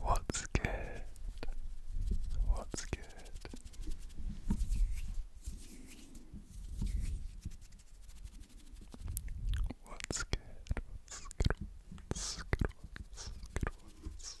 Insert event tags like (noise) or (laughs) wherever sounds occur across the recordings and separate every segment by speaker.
Speaker 1: What's good? What's good? What's good? What's good? What's good? What's good?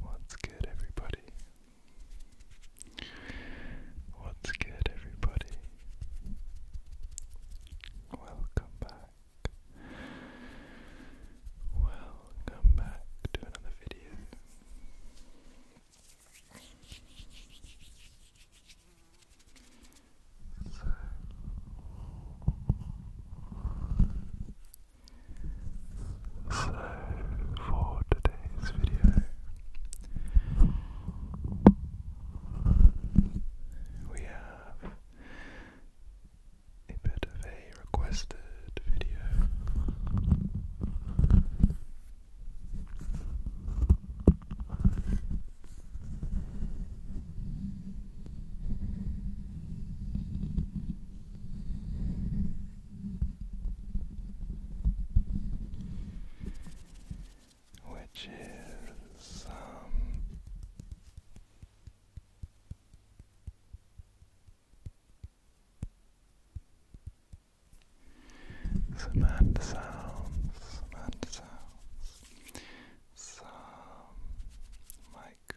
Speaker 1: What's good, everybody? What's good, everybody? Welcome back. Welcome back to another video. So, so, for today's video, we have a bit of a requested video which is um, some hand sounds, some hand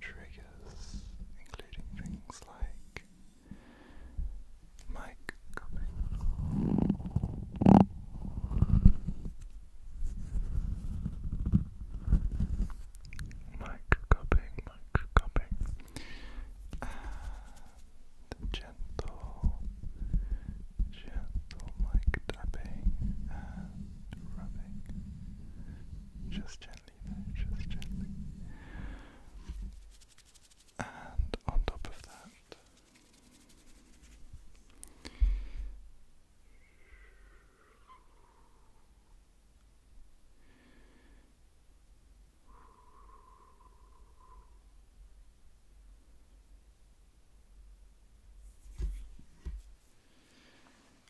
Speaker 1: triggers, including things like mic cupping. Mic cupping, mic cupping. And gentle, gentle mic tapping and rubbing. Just gently gently, just And on top of that,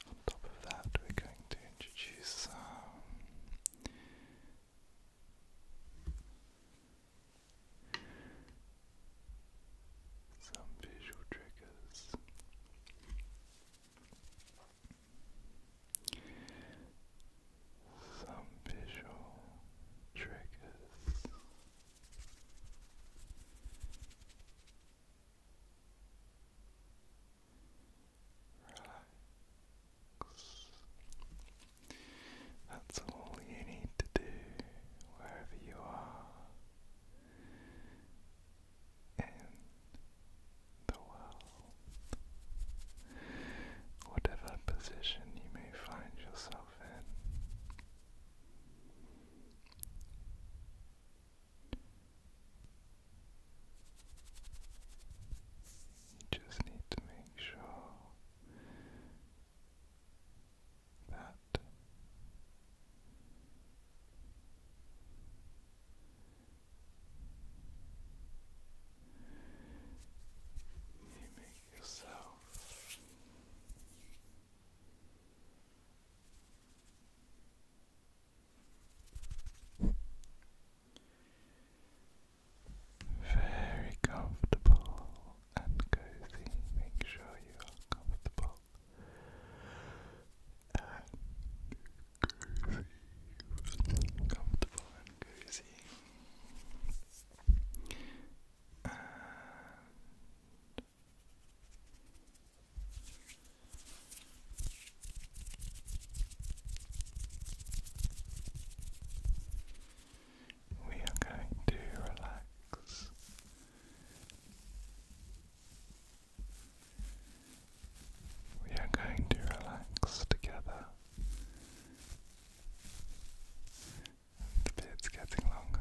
Speaker 1: on top of that, we're going to introduce um, some visual triggers. Some visual triggers. Relax. That's all you need to do wherever you are in the world. Whatever position you may find yourself in. You just need to make sure that you make yourself very comfortable and cozy. Make sure you are comfortable and cozy. Comfortable and cozy. We are going to relax. We are going to relax together. The bit's getting longer.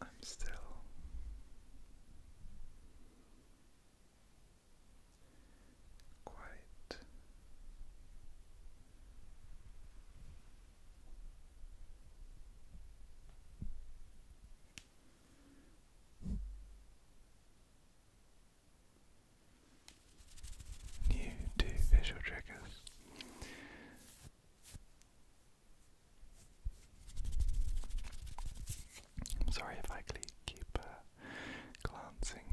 Speaker 1: I'm still quite new to visual triggers. I'm sorry if I keep uh, glancing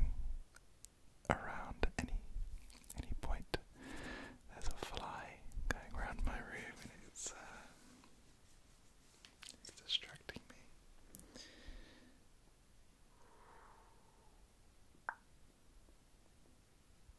Speaker 1: around any any point. There's a fly going around my room and it's uh, it's distracting me.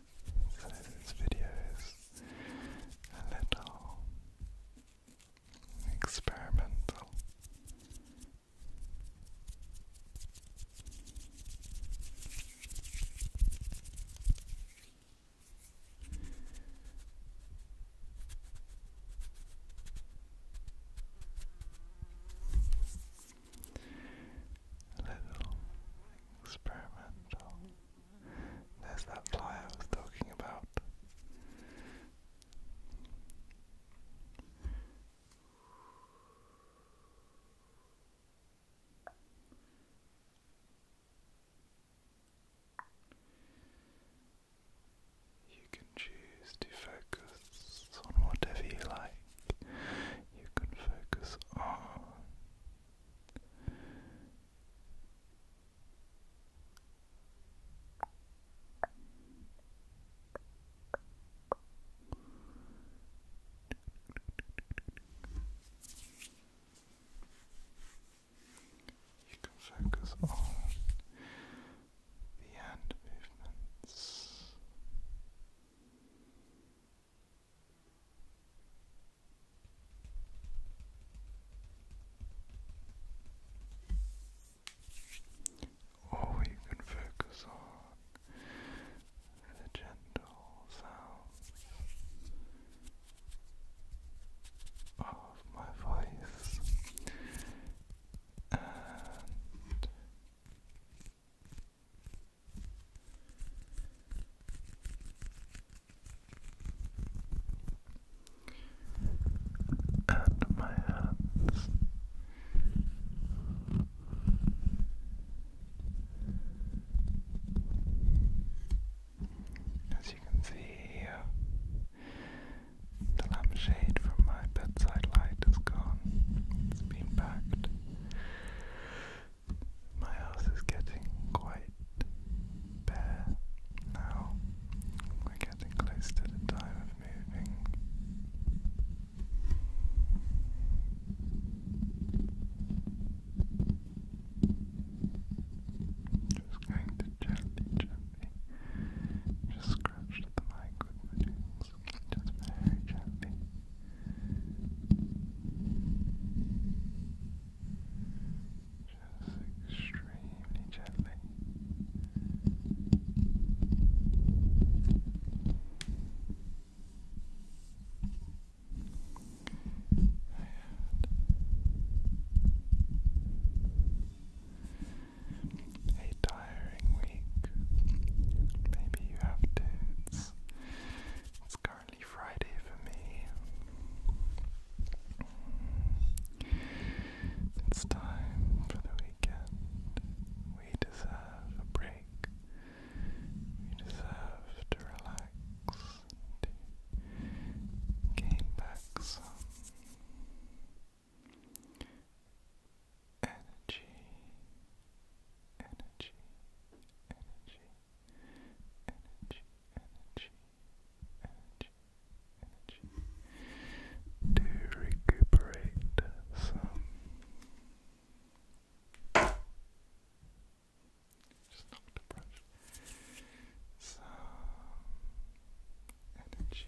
Speaker 1: So this video is a little experimental. little experimental. There's that fly I was talking about. You can choose to focus on whatever you like. You can focus on you can focus on the hand movements. Or you can focus on the gentle sounds of my voice and my hands. As you can see here, the lampshade from my bedside light is gone. It's been packed my house is getting quite bare now. We're getting close to the time of moving. Just going to gently, gently just scratch the mic with my nails, just very gently. Just extremely gently. a tiring week. Maybe you have to. It's, it's go currently Friday for me. It's time for the weekend. We deserve a break. We deserve to relax gain back some energy, energy, energy energy, energy, energy to recuperate some. Just knocked the brush. Some Energy,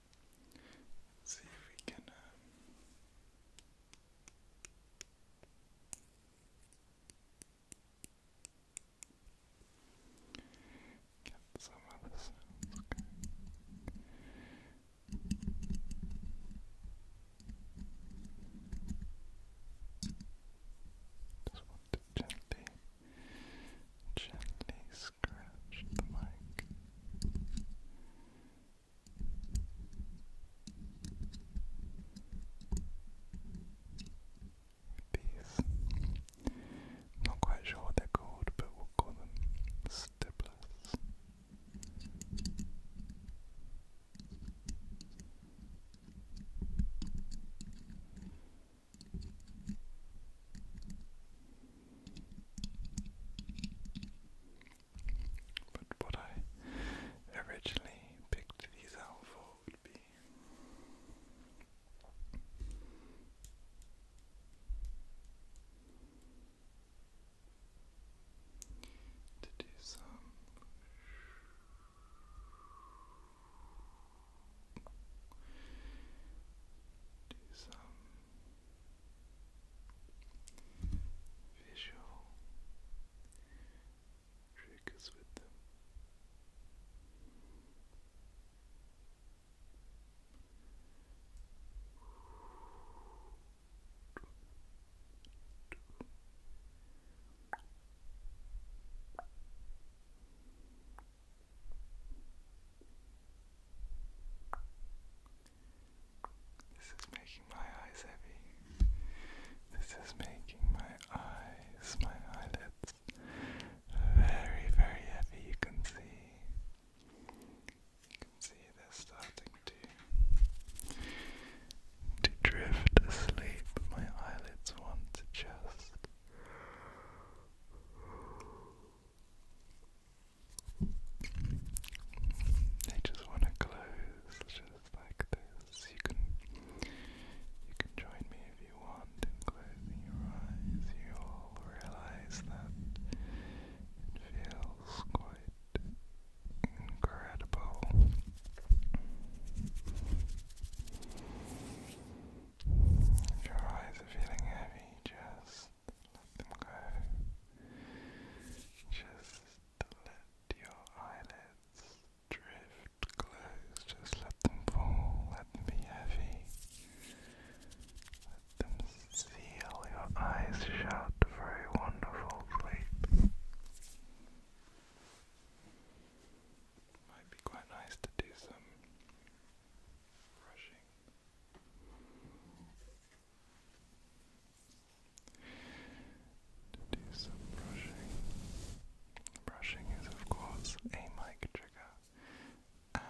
Speaker 1: Let's see if we can. Uh, get some of Just want to gently gently scratch the mic. These, not quite sure what they're called, but we'll call them stipplers. But what I originally picked these out for would be to do some do some visual triggers with this is making my eyes heavy. This is making my eyes, my eyelids very, very heavy. You can see, you can see they're starting to to drift asleep. My eyelids want to just. I just want to close just like this. You can you can join me if you want closing your eyes. You'll realize that it feels quite incredible. If your eyes are feeling heavy, just let them go. Just let your eyelids drift close. Just let them fall. Let them be heavy. Let them seal your eyes shut for a wonderful sleep. Might be quite nice to do some brushing to do some brushing. Brushing is, of course, a mic trigger,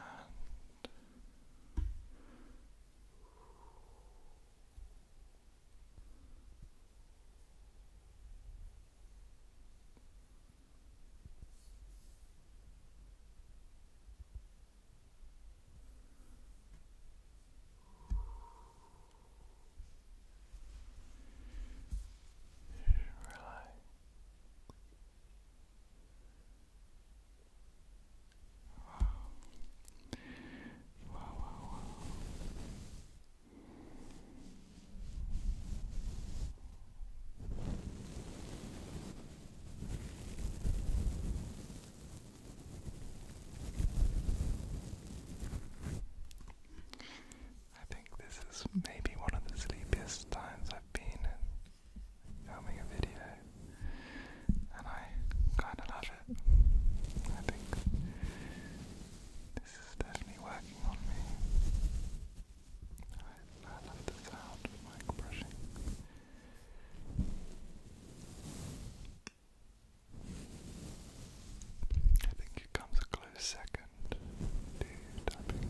Speaker 1: Relax. Wow. Wow, wow, wow. I think this is maybe one of the sleepiest times I've been in filming a video, and I kind of love it. I think this is definitely working on me. I, like the sound of I think it comes a close second to tapping.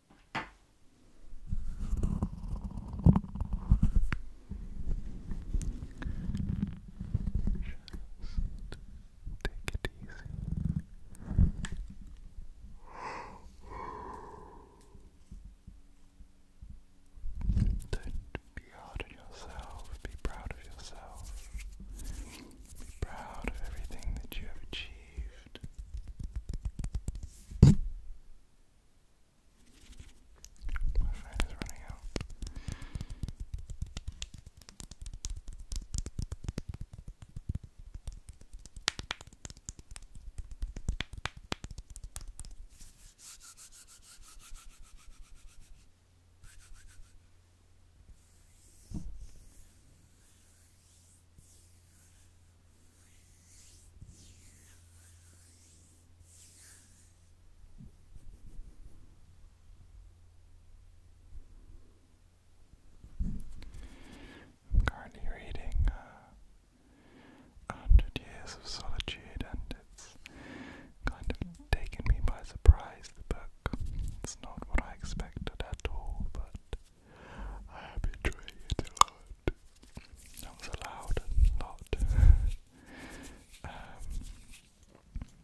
Speaker 1: Just take it easy. do be hard on yourself. Be proud of yourself. Be proud of everything that you have achieved saved. My fan is running out. I'm currently reading uh, A Hundred Years of Solitude, and it's kind of taken me by surprise. The book, it's not what I expected at all, but I betray it a lot. That was a lot. (laughs) Um, um,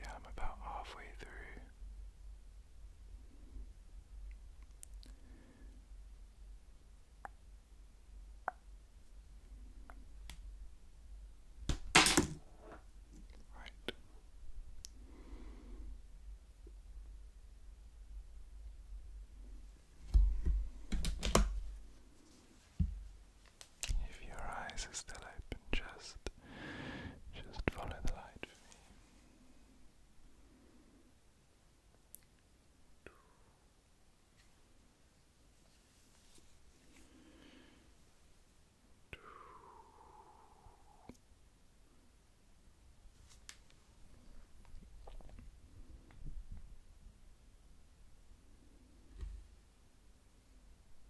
Speaker 1: yeah, I'm about halfway through Right. If your eyes are still open, just just follow the light for me.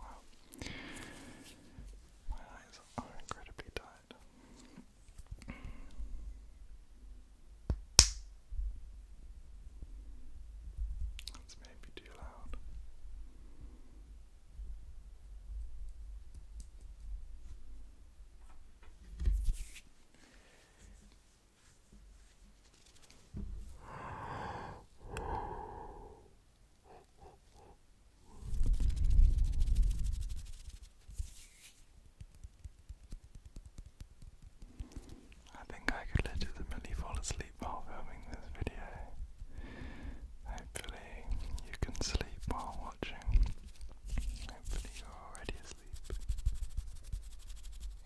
Speaker 1: Wow. My eyes are incredibly tired. That's maybe too loud. I think I could legitimately fall asleep while filming this video. Hopefully, you can sleep while watching. Hopefully, you're already asleep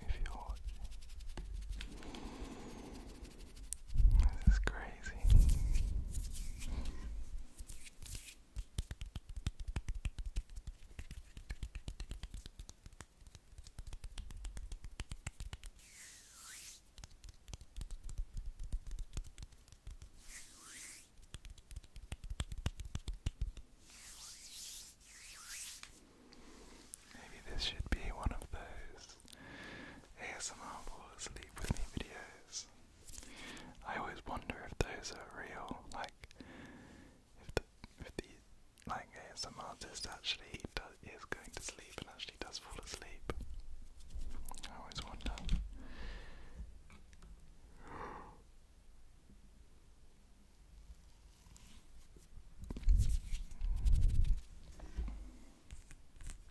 Speaker 1: if you're this is crazy. Maybe this should be one of those ASMR Fall Asleep With Me videos. I always wonder if those are real, like, if the, if the like, ASMR artist actually does, is going to sleep and actually does fall asleep. I always wonder.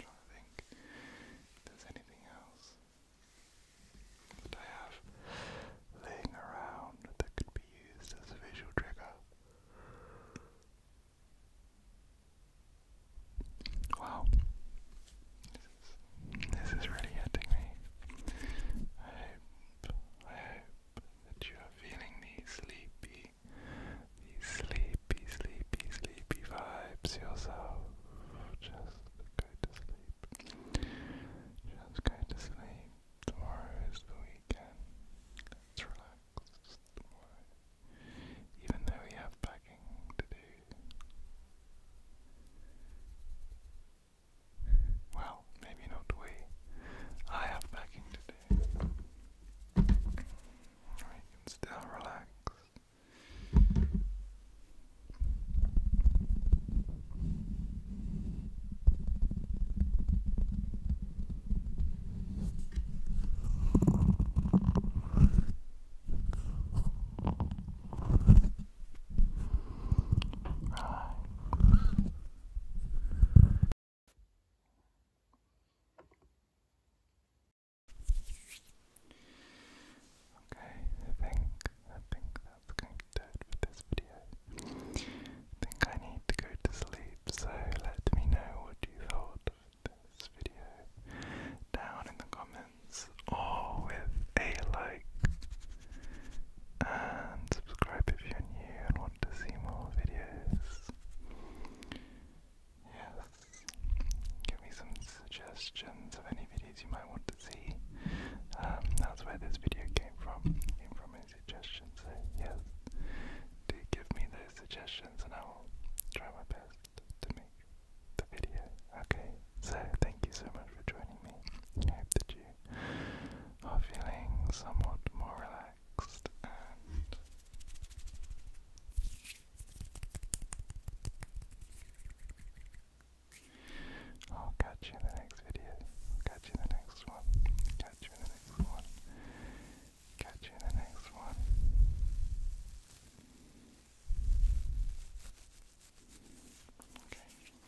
Speaker 1: I'm to think if anything else that I have laying around that could be used as a visual trigger. Wow. This is, this is really hitting me. I hope, I hope that you are feeling these sleepy, these sleepy, sleepy, sleepy vibes yourself. Just go to sleep. Just go to sleep. Tomorrow is the weekend. Let's relax Even though we have packing to do. Well, maybe not we. I have packing to do. We can still relax. Right. Okay, I think I think that's going to do it for this video. think I need to go to sleep, so let me know what you thought of this video down in the comments or with a like and subscribe if you're new want to see more videos. Yes. Give me some suggestions of any videos you might want to see. Um, that's where this video came from. Came from any suggestions. yes. Do give me those suggestions and I will try my best to make the video. Okay. So thank you so much for joining me. I hope that you I'm feeling somewhat more relaxed I'll catch you in the next video. Catch you in the next one. Catch you in the next one. Catch you in the next one. Okay.